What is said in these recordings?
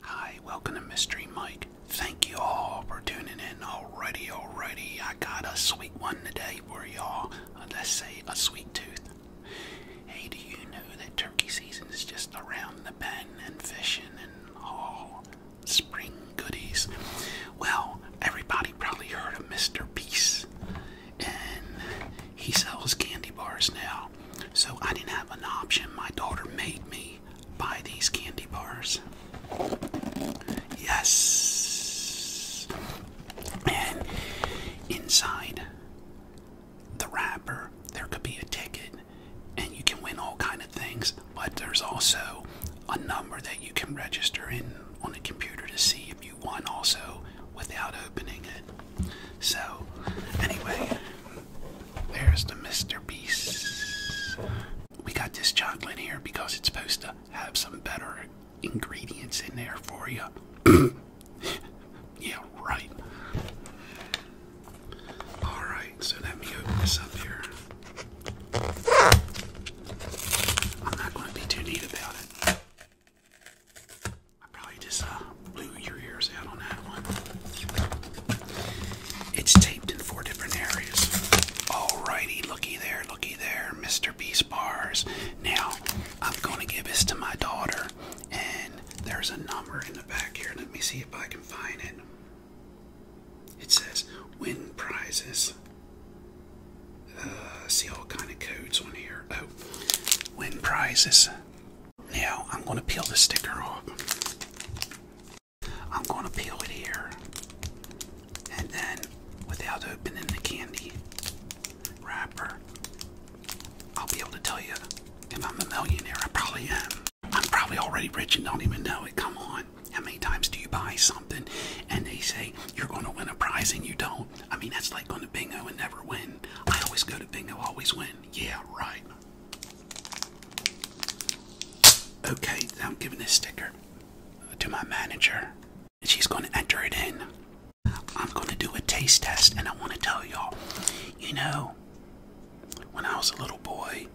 Hi, welcome to Mystery Mike. Thank you all for tuning in. Alrighty, alrighty, I got a sweet one today for y'all. Uh, let's say a sweet tooth. Hey, do you know that turkey season is just around the bend and fishing and all spring goodies? Well, everybody probably heard of Mr. Piece, and he sells candy bars now. So I didn't have an option. My daughter made me buy these candy bars. Yes! And inside the wrapper, there could be a ticket, and you can win all kind of things, but there's also a number that you can register in on a computer to see if you won also without opening it. So, anyway, there's the Mr. Beast. We got this chocolate here because it's supposed to have some better ingredients in there for you. yeah, right. Alright, so let me open this up here. I'm not going to be too neat about it. I probably just uh, blew your ears out on that one. It's taped in four different areas. Alrighty, looky there, looky there, Mr. Beast bars. Now, I'm gonna give this to my daughter, and there's a number in the back here. Let me see if I can find it. It says win prizes. Uh, see all kind of codes on here. Oh, win prizes. Now I'm going to peel the sticker off. I'm going to peel it here. And then, without opening the candy wrapper, I'll be able to tell you if I'm a millionaire. I probably am. I'm probably already rich and don't even know it. Come on. How many times do you buy something and they say you're going to win a prize and you don't? I mean, that's like going to bingo and never win. I always go to bingo, always win. Yeah, right. Okay, I'm giving this sticker to my manager, and she's going to enter it in. I'm going to do a taste test, and I want to tell y'all, you know, when I was a little boy,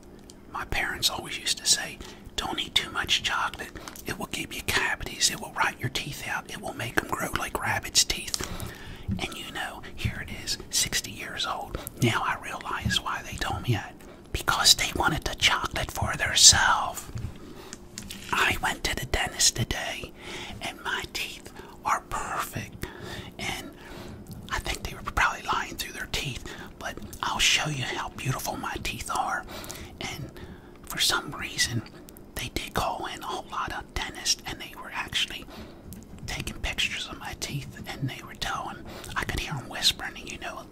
my parents always used to say, don't eat too much chocolate. It will give you cavities. It will rot your teeth out. It will make them grow like rabbit's teeth. And you know, here it is, 60 years old. Now I realize why they told me that. Because they wanted the chocolate for themselves. I went to the dentist today, and my teeth are perfect. And I think they were probably lying through their teeth, but I'll show you how beautiful my teeth are. And for some reason, they did call in a whole lot of the dentist and they were actually taking pictures of my teeth and they were telling, I could hear them whispering, and you know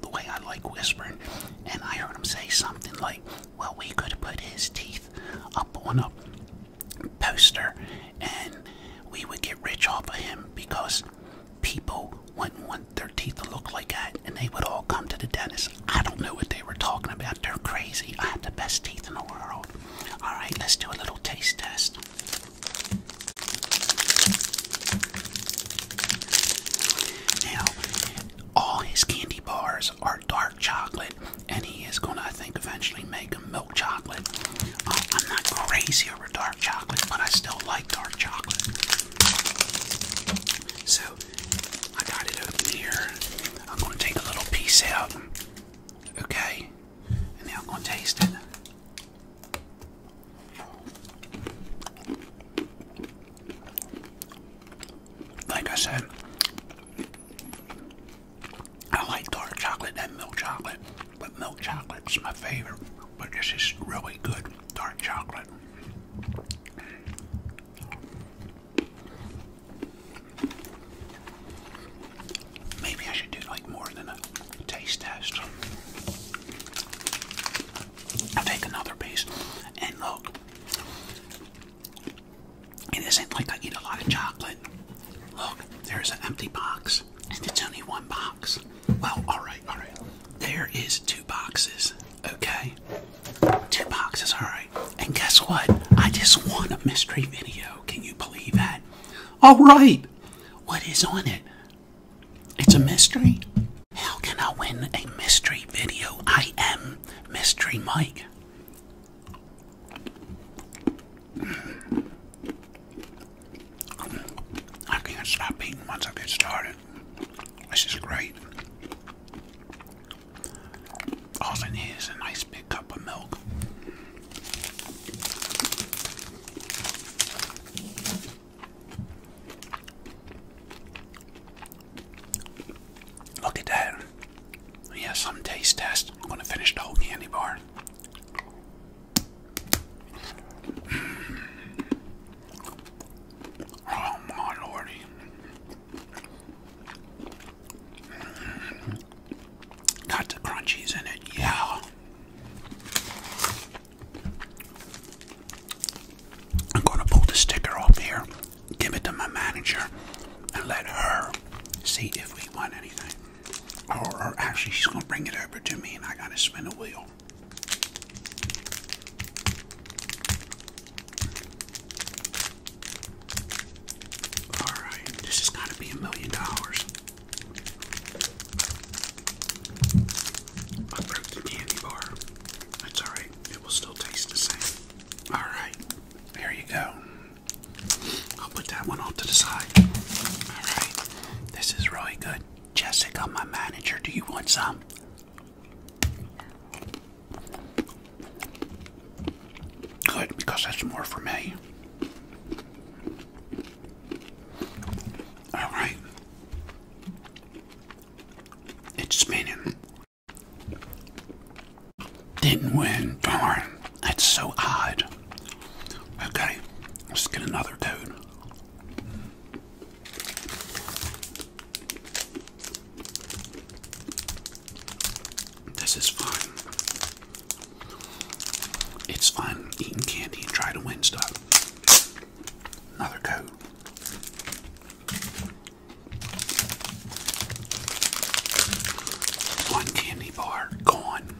the way I like whispering, and I heard him say something like, well, we could put his teeth up on a poster and we would get rich off of him because people wouldn't want their teeth to look like that and they would all come to the dentist. I don't know what they were talking about. They're crazy. I have the best teeth in the world. All right, let's do a little taste test. Now, all his candy bars are dark chocolate, and he is going to, I think, eventually make a milk chocolate. Um, I'm not crazy over dark chocolate, but I still like dark chocolate. So, I got it open here. I'm going to take a little piece out. Okay, and now I'm going to taste it. Like I said, I like dark chocolate and milk chocolate, but milk chocolate is my favorite. But this is really good dark chocolate. Maybe I should do like more than a taste test. I'll take another piece and look. It isn't like I eat a lot of chocolate. Look, there's an empty box, and it's only one box. Well, alright, alright. There is two boxes, okay? Two boxes, alright. And guess what? I just won a mystery video. Can you believe that? All right. What is on it? It's a mystery. How can I win a mystery video? I am Mystery Mike. I can't stop eating once I get started. This is great. Oh, and here's a nice big cup of milk. Look at that. Yeah, some taste test. I'm gonna finish the whole candy bar. Mm. Oh lordy. Got the crunchies in it, yeah. I'm going to pull the sticker off here, give it to my manager, and let her see if we want anything. Or, actually, she's going to bring it over to me, and I got to spin a wheel. Alright, this has got to be a million dollars. I broke the candy bar. That's alright, it will still taste the same. Alright, there you go. I'll put that one off to the side. Alright, this is really good. Jessica, my manager, do you want some? Good, because that's more for me. All right. It's spinning. Didn't win. Darn. That's so odd. Okay, let's get another dude. This is fun. It's fun eating candy and trying to win stuff. Another coat. One candy bar gone.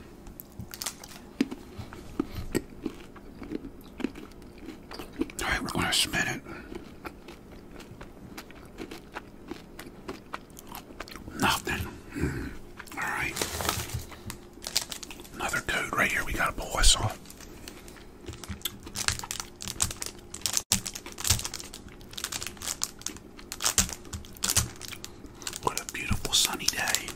Alright, we're Nothing. Hmm. All right. Another code right here. We got to pull this What a beautiful sunny day.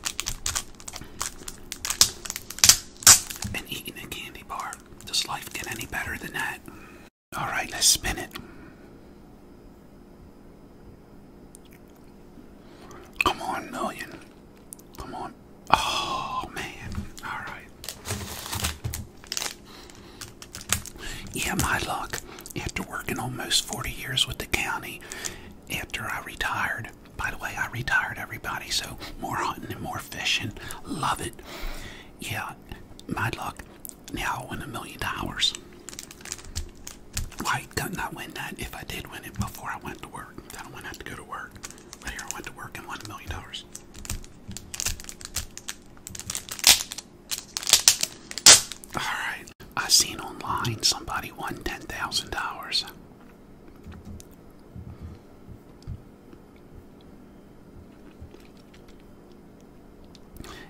And eating candy bar. Does life get any better than that? All right, let's spin it. Come on, million. Come on. Oh, man. All right. Yeah, my luck. After working almost 40 years with the county, after I retired, by the way, I retired everybody, so more hunting and more fishing. Love it. Yeah, my luck, now I'll win a million dollars. Why couldn't win that if I did win it before I went to work? I wouldn't have to go to work. But here I went to work and won a million dollars. Alright, I seen online somebody won $10,000.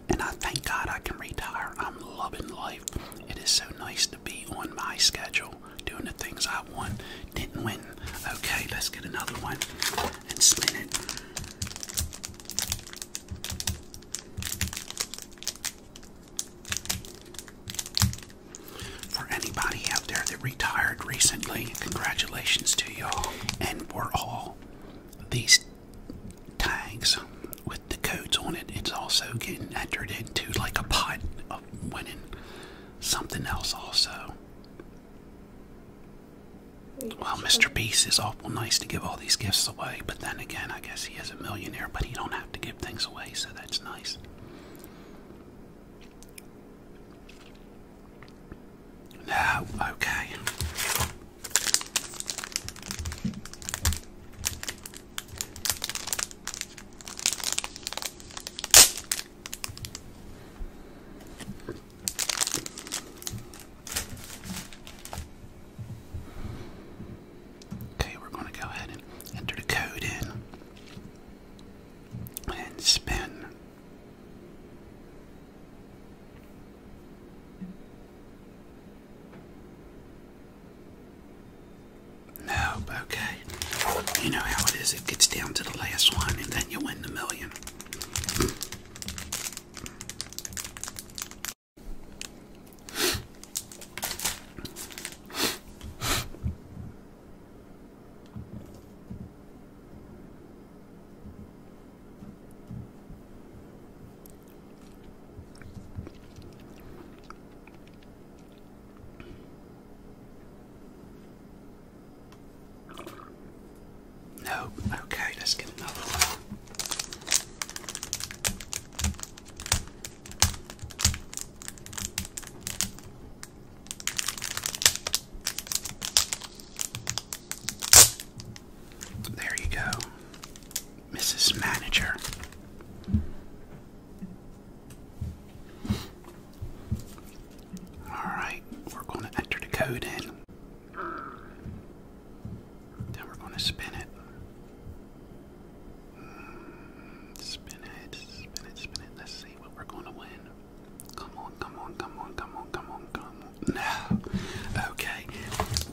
And I thank God I can retire. I'm loving life. It is so nice to be on my schedule, doing the things I want. Didn't win. Okay, let's get another one and spin it. For anybody out there that retired recently. Congratulations to y'all. And we're all these tags with the codes on it. It's also getting entered into like a pot of winning something else also. Well, Mr. Beast is awful nice to give all these gifts away, but then again, I guess he is a millionaire, but he don't have to give things away, so that's nice. No, okay. Okay, we're going to go ahead and enter the code in and spin. No, okay. You know how it is, it gets down to the last one and then you win the million. No, okay, let's get another one. There you go, Mrs. Manager. Alright, we're going to enter the code in. Then we're going to spin it. spin it, spin it, spin it. Let's see what we're going to win. Come on, come on, come on, come on, come on, come on. No. Okay.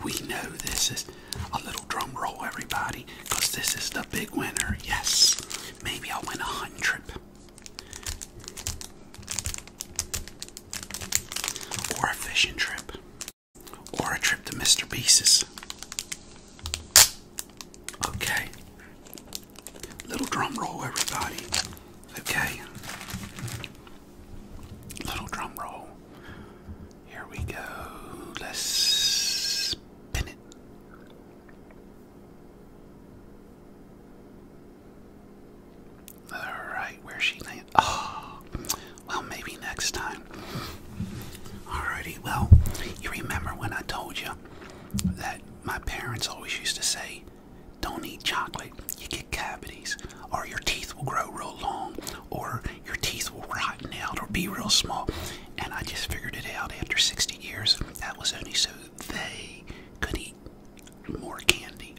We know this is a little drum roll, everybody, because this is the big winner. Yes. Maybe I'll win a hundred. Or a fishing trip. Or a trip to Mr. Beast's. Okay. Little drum roll, everybody. Okay. Little drum roll. Here we go. Let's spin it. Alright, where she Oh, well, maybe next time. Alrighty, well, you remember when I told you that my parents always used to say, don't eat chocolate, you get cavities, or your teeth will grow real long, or your teeth will rotten out or be real small. And I just figured it out after 60 years. That was only so they could eat more candy.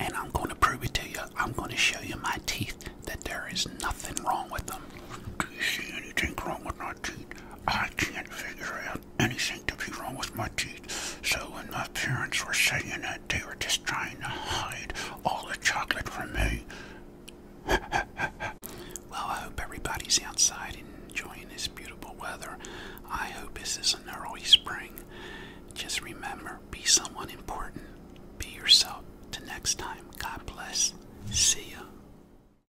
And I'm going to prove it to you. I'm going to show you my teeth that there is nothing wrong with them. Do you see anything wrong with my teeth? I can't figure out anything to be wrong with my teeth. So when my parents were saying that, they were just trying to hide all the chocolate from me. well, I hope everybody's outside enjoying this beautiful weather. I hope this is an early spring. Just remember, be someone important. Be yourself. Till next time, God bless. See ya.